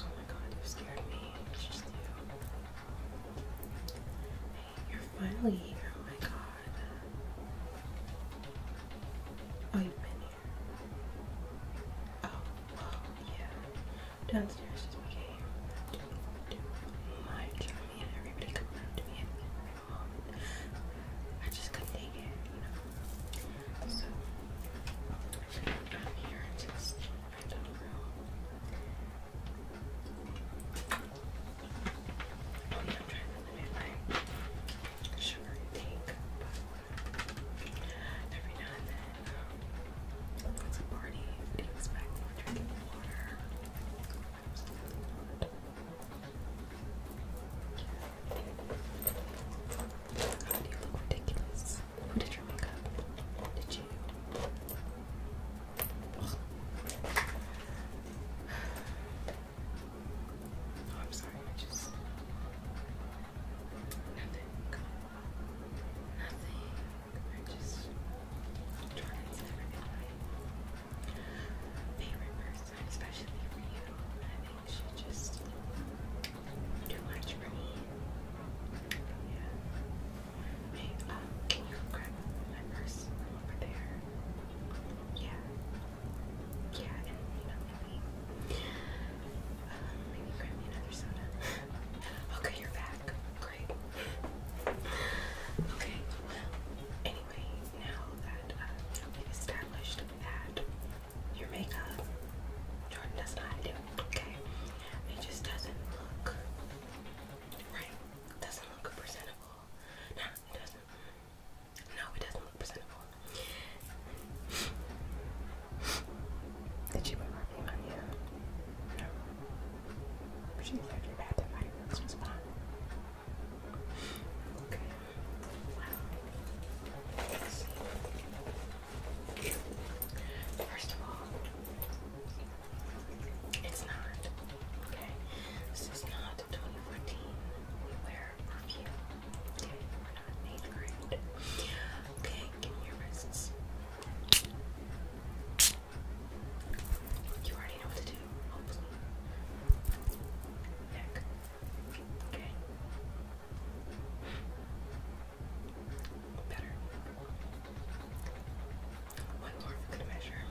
Oh my god, you scared me. It's just you. you're finally here. Oh my god. Oh, you've Oh, yeah. Downstairs just became my journey and everybody coming up to me I just couldn't take it, So oh, I'm trying to limit my sugar intake, Every now and then, um, it's a party. You expect someone drinking water. you look ridiculous? Who did your makeup? Did you? Oh, I'm sorry, I just nothing, nothing. I just try Favorite person, especially for you. I think she just too much for me. Yeah. Wait, um, can you grab my purse over there? Yeah. Yeah, and you know, Oh, okay, you're back. Great. Okay, well, anyway, now that uh, we've established that your makeup, Jordan does not do, okay? It just doesn't look right. Doesn't look presentable. No, it doesn't. No, it doesn't look presentable. Did she put perfume on you? No. She left your bath and fireworks was fine. Okay. Wow. First of all, it's not. Okay. This is not 2014. We wear love you. Okay, we're not made great. Okay, give me your wrists. You already know what to do, hopefully. Neck. Okay. Better. One more for measure.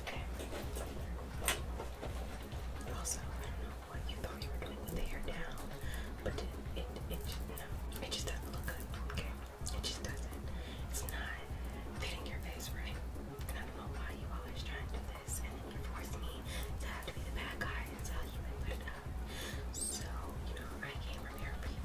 Okay. Also, I don't know what you thought you were doing with the hair now, but it it just, it just doesn't look good. Okay, it just doesn't. It's not fitting your face right. And I don't know why you always try and do this, and then you force me to have to be the bad guy and tell you and put it up. So you know I came from here you.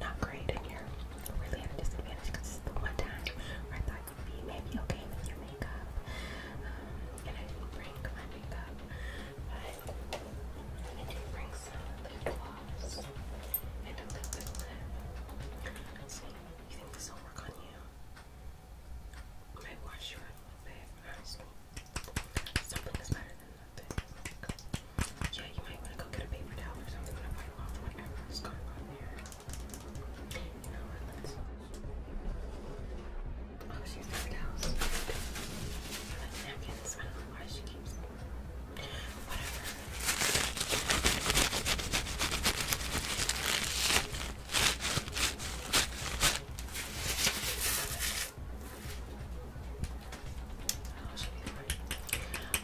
not great and you really at a disadvantage because it's the one time where I thought you'd be maybe okay with your makeup. Um, and I didn't bring my makeup, but I did bring some little bit see, you think this will work on you? I might wash you a little bit, honestly. Something is better yeah, you might want to go get a paper towel or something to wipe off whatever's going on there. You know what? Let's. Oh, she's got towels. And napkins. I don't know why she keeps them. Whatever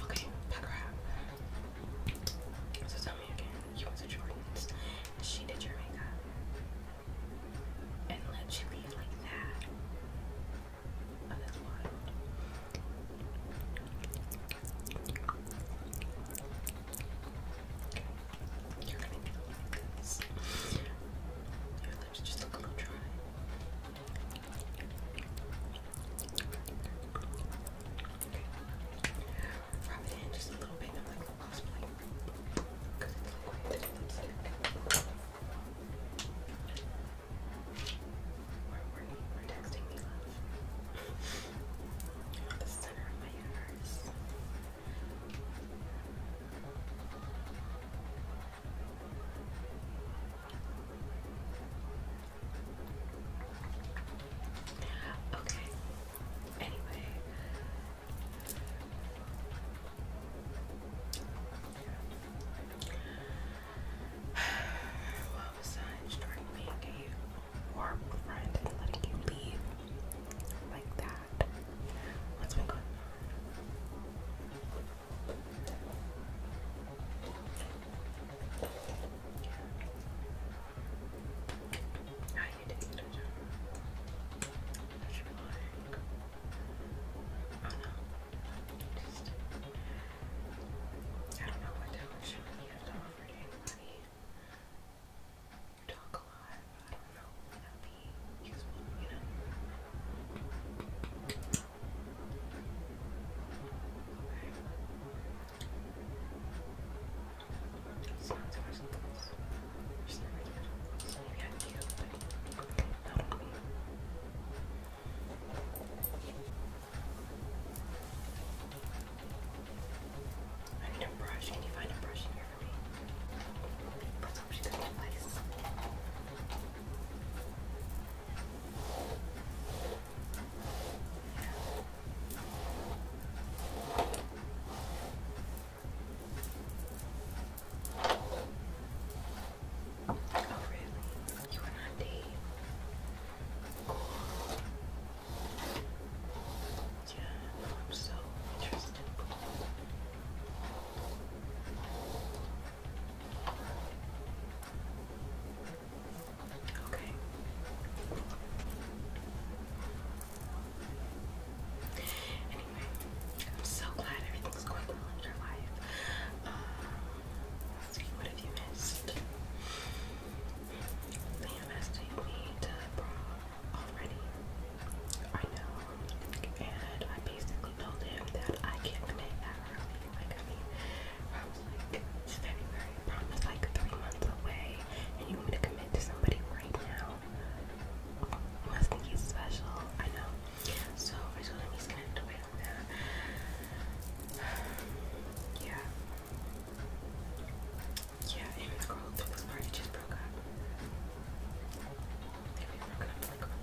okay, back her up. So tell me again, you went to she did your makeup. And let you leave like that. Oh, Your lips just look a little dry. Rub it in just a little bit and I'm like, oh, it's like, because it's liquid, it's lipstick. We're, we're, we're texting me love. the center of my universe. Okay. Anyway. Well, besides trying to make a warm friend and letting you leave like that, what going on? Now ah, you oh, I don't know what talent show you have to offer to You talk a lot, but I don't know be useful, you know. Okay. So let's watch some books. There's no idea. So maybe I can get everybody. Not on me. I need a brush. Can you find a brush in here for me? Brush. Oh really? You went on a Yeah, I'm so interested. Okay. Anyway, I'm so glad everything's going well in your life. Um, what have you missed? Liam has taken me to prom already. I know, and I basically told him that I can't commit that early. Like, I mean, I was like, it's February, prom is like three months away, and you want me to commit to somebody right now? You must think he's special. I know. So I told him he's gonna to wait on that. Yeah. Yeah, and the girl who this party just broke up. They broke up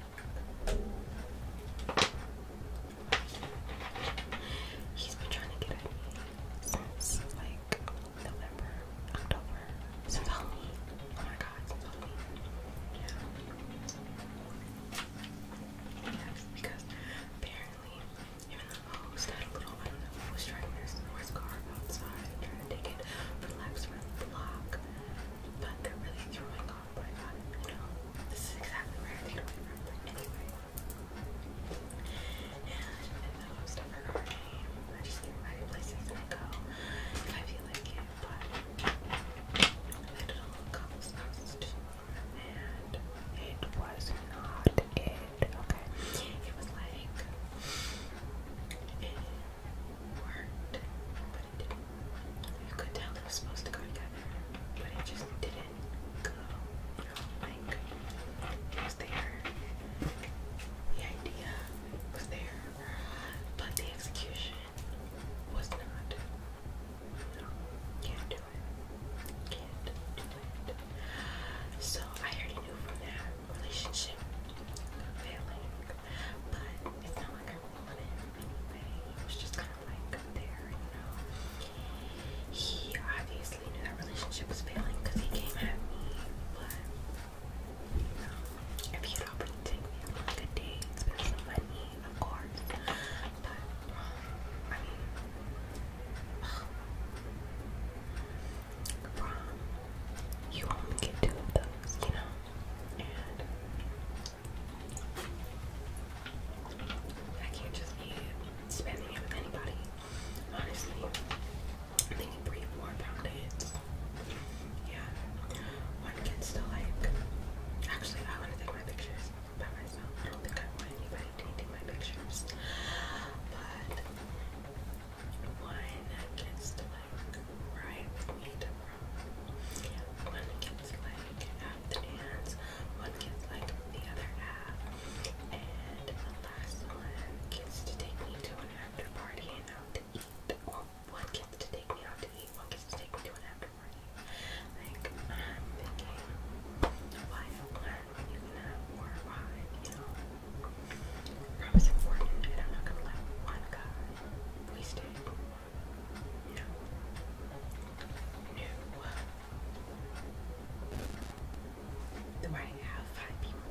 He's been trying to get at me since like November, October, since Halloween. Oh my god, since Halloween. Yeah. Yes, because apparently, even the host had a little, I was trying to steal car outside, trying to take it for laps around the block. But they're really throwing off what I uh, You know, this is exactly where I think it went from. Anyway. And I want stuff regarding, I places and go if I feel like it. But I did a little couple's too. And it was not it. Okay. It was like it worked, but didn't. You could tell it was supposed to go together, but it just didn't go. You know, like it was there. The idea was there, but the execution was not. can't do it. Can't do it. So I already knew from that relationship failing but it's not like I wanted him It was just kind of like there, you know. He obviously knew that relationship was failing because he came at me, but if he had offered to me on like a date, spend some money, of course. But I mean, prom, you only get two of those, you know. I can't just be spending it with anybody. Honestly, I think three, four pound Yeah, one can still like. Actually, I want to take my pictures by myself. I don't think I want anybody taking my pictures, but one gets like right meat from, one gets like half the hands, one gets like the other half, and the last one gets to take me to an after party and out to eat. one gets to take me out to eat, one gets to take me to an after party. Like, I'm thinking, why one? You have more wine, you know? I was important, and I'm not gonna let one guy waste it. No. No. Do I have five people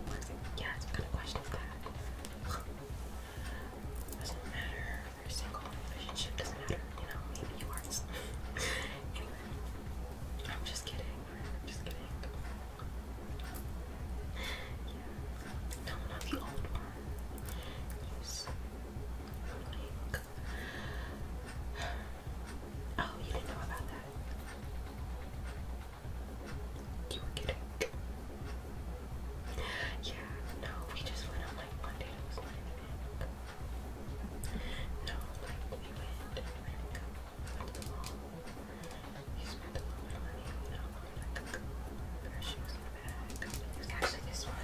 Yeah, it's kind of question doesn't matter. Every single relationship doesn't matter. You know, maybe yours. anyway, I'm just kidding. I'm just kidding. No, not the old one. Oh, you didn't know about that. You were kidding. Yeah, no, we just went on like Monday. It was not even No, we went. He spent a lot of money on alcohol and her in the bag. It actually this one.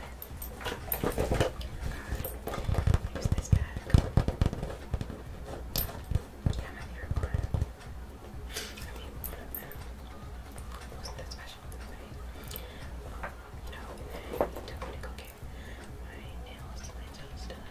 It was this bag. Yeah, my favorite one. I mean, wasn't that special, right? he took me to go get my nails, my toes done.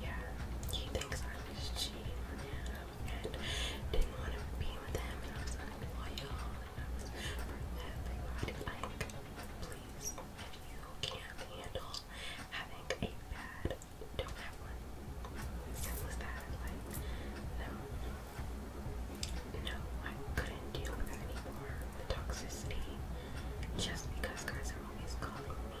yeah, he thinks I was cheating and didn't want to be with him and I was unloyal and I was for if you can't handle having a bad, don't have one. Simple as that. Like, no. No, I couldn't deal with it anymore. toxicity. Just because guys are always calling me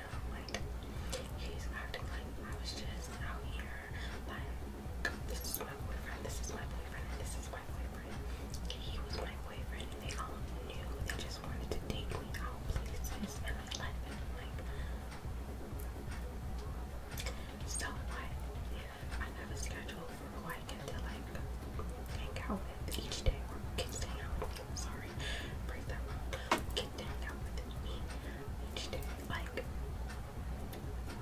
he's acting like I was just out here like this is my boyfriend, this is my boyfriend, this is my boyfriend. He was my boyfriend they all knew they just wanted to take me out places and I let them like so I, yeah, I have schedule for who I get to like hang out each day or kids hang out with me. Sorry, break that one. Kids hang out with me each day. Like,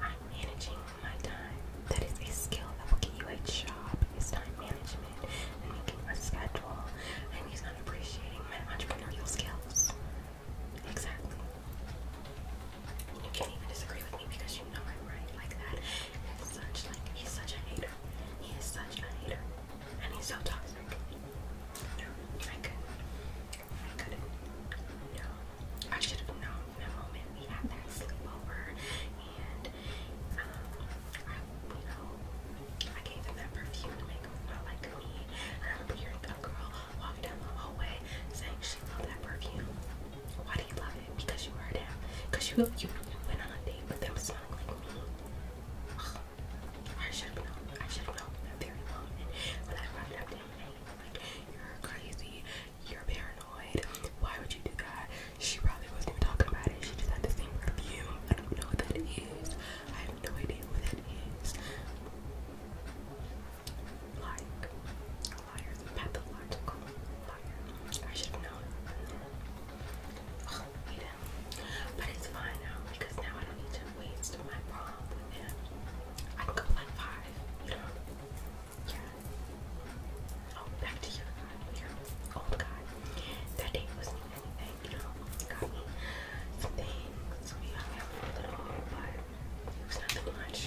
I'm managing my time. That is a skill that will get you a job. It's time management and making a schedule. And he's not appreciating my entrepreneurial skills. Exactly. You can't even disagree with me because you know I'm right like that. It's such like he's such a hater. He is such a hater. And he's so toxic. No, I couldn't. I couldn't. No. I should have known from the moment we had that sleepover and um I you I gave him that perfume to make him like me. I remember hearing girl walking down the hallway saying she loved that perfume. Why do you love it? Because you heard him. Because you you went on a date with them smelling like me. I should have known. I should have known that very long. And when I brought it up to him, and he was like, "You're crazy. You're paranoid. Why would you do that?" She probably wasn't even talking about it. She just had the same review. I don't know what that is. I have no idea what that is. Like liars, pathological liar. I should have known. Ugh, you But it's fine now because now I don't need to waste my prom with him. I can go like five, Yeah. Oh, back to your guy, your old guy. wasn't anything, you know. He got me some We hung out for a little, but it was nothing much.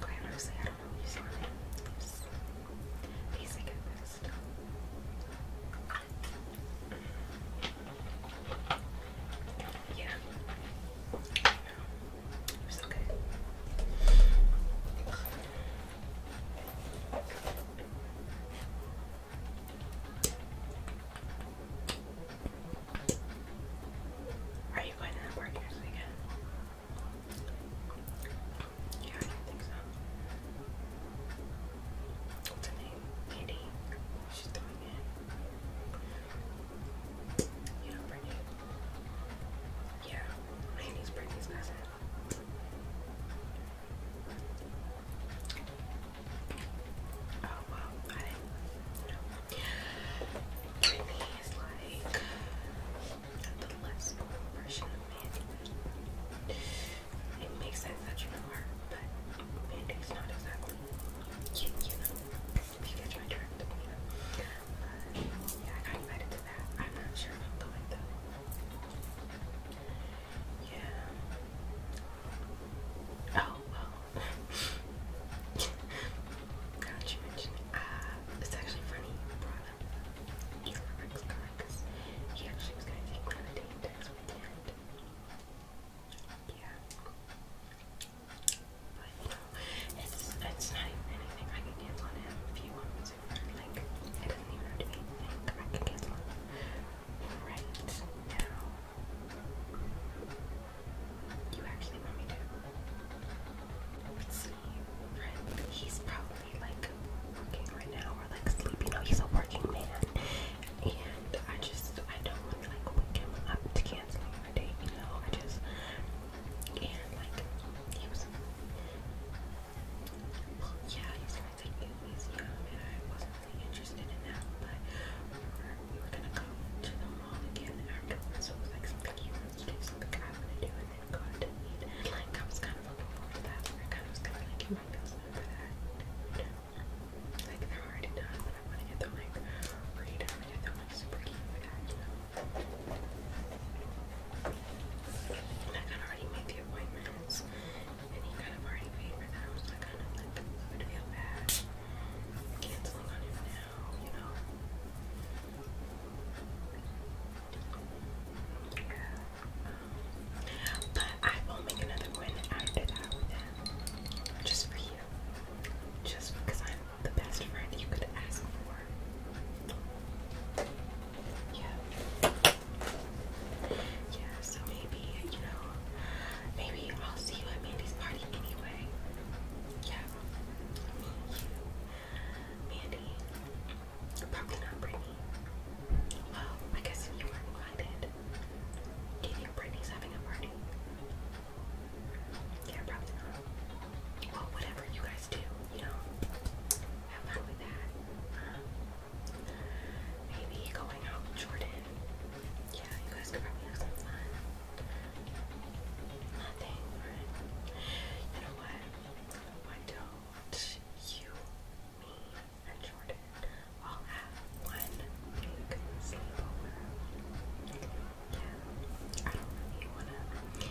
Quite honestly, I don't know what you He's basic at best. Yeah. okay. Are you going to the this weekend? Yeah, I think so. What's her name? Kitty. She's doing it. You Brittany? Yeah, Brittany's cousin. Oh wow, I didn't Brittany is like the less version of it makes sense that you are, but it's not exactly if you catch my drift, yeah, I got invited to that. I'm not sure if I'm going though. Yeah. Oh, well. Now you mentioned uh, it's actually funny him. Elon musk because he actually was going to take one of the weekend. Yeah. But, you know, it's, it's not I can cancel on him if he wants Like, it doesn't even have anything I can cancel on him right You actually want me to? Let's see. He's probably actually like working right now or like sleeping. No, oh, he's a working man, and I just I don't want to like wake him up to cancel our date. You know, I just and like he was. Well, yeah, he's trying to get me young, and I wasn't really interested in that. But we were, we were gonna go to the mall again afterwards, so it was like something he wants to do, something I want to do, and I was kind of looking forward to that. I kind of was kind of like, you might feel something for that. Like they're already done, but I want to get them like read. to get them like super cute for that, I kind of already made the appointments, and he kind of already paid for them, so I kind of like would feel bad canceling on him now, you but I will make another one after that Just for you. Just I'm the best friend you could ask for. Yeah. Yeah, so maybe, you know, maybe I'll see you at Mandy's party anyway. Yeah. Me, you, Mandy. Probably not Brittany. Well, I guess you were invited. Do you Brittany's having a party? Yeah, probably not. Well, whatever you guys do, you know, have fun with that. Maybe going out Jordan. Yeah, you guys could probably have some fun. Nothing, You know what? Why don't you, me, and Jordan will have one big sleepover. Yeah, I don't wanna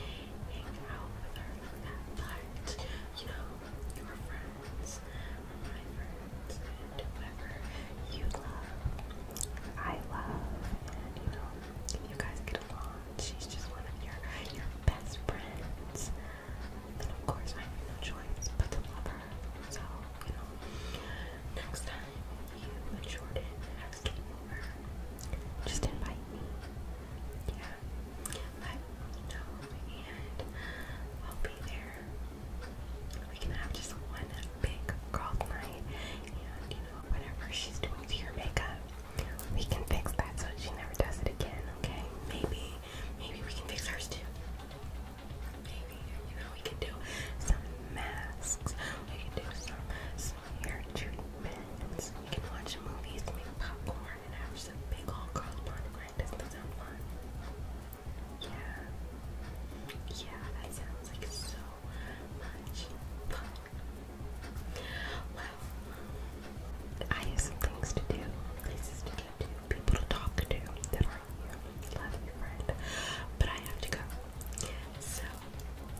hang out with her but you know, your friends my friends, and whoever you love, I love, and you know, if you guys get along, She's just one of your your best friends. And of course, I have no choice but to love her. So, you know, next time you and Jordan have to over, just invite me. Yeah, let me know, and I'll be there. We can have just one big girls' night, and you know, whatever she's doing to your makeup, we can fix that so she never does it again, okay? Maybe, maybe we can fix hers too. Maybe, you know, we could do some masks, we could do some, hair treatments, we can watch movies, make popcorn, and have some big old girl pomegranate. does that sound fun? Yeah. Yeah, that sounds like so much fun. Well, I have some things to do, places to go to, people to talk to that aren't Love you, friend. But I have to go. So,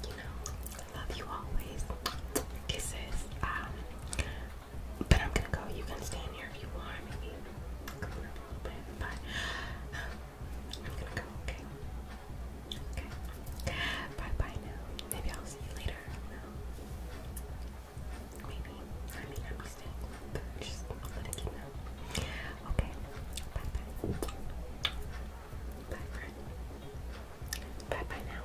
you know, love you always. Kisses. Um, but I'm gonna go. You can stay in here if you want. Maybe go um, I'm gonna go. Okay. Okay. Bye bye now. Maybe I'll see you later. No. Maybe. I may not be staying. Just let it keep out. Okay. Bye friend. Bye bye now.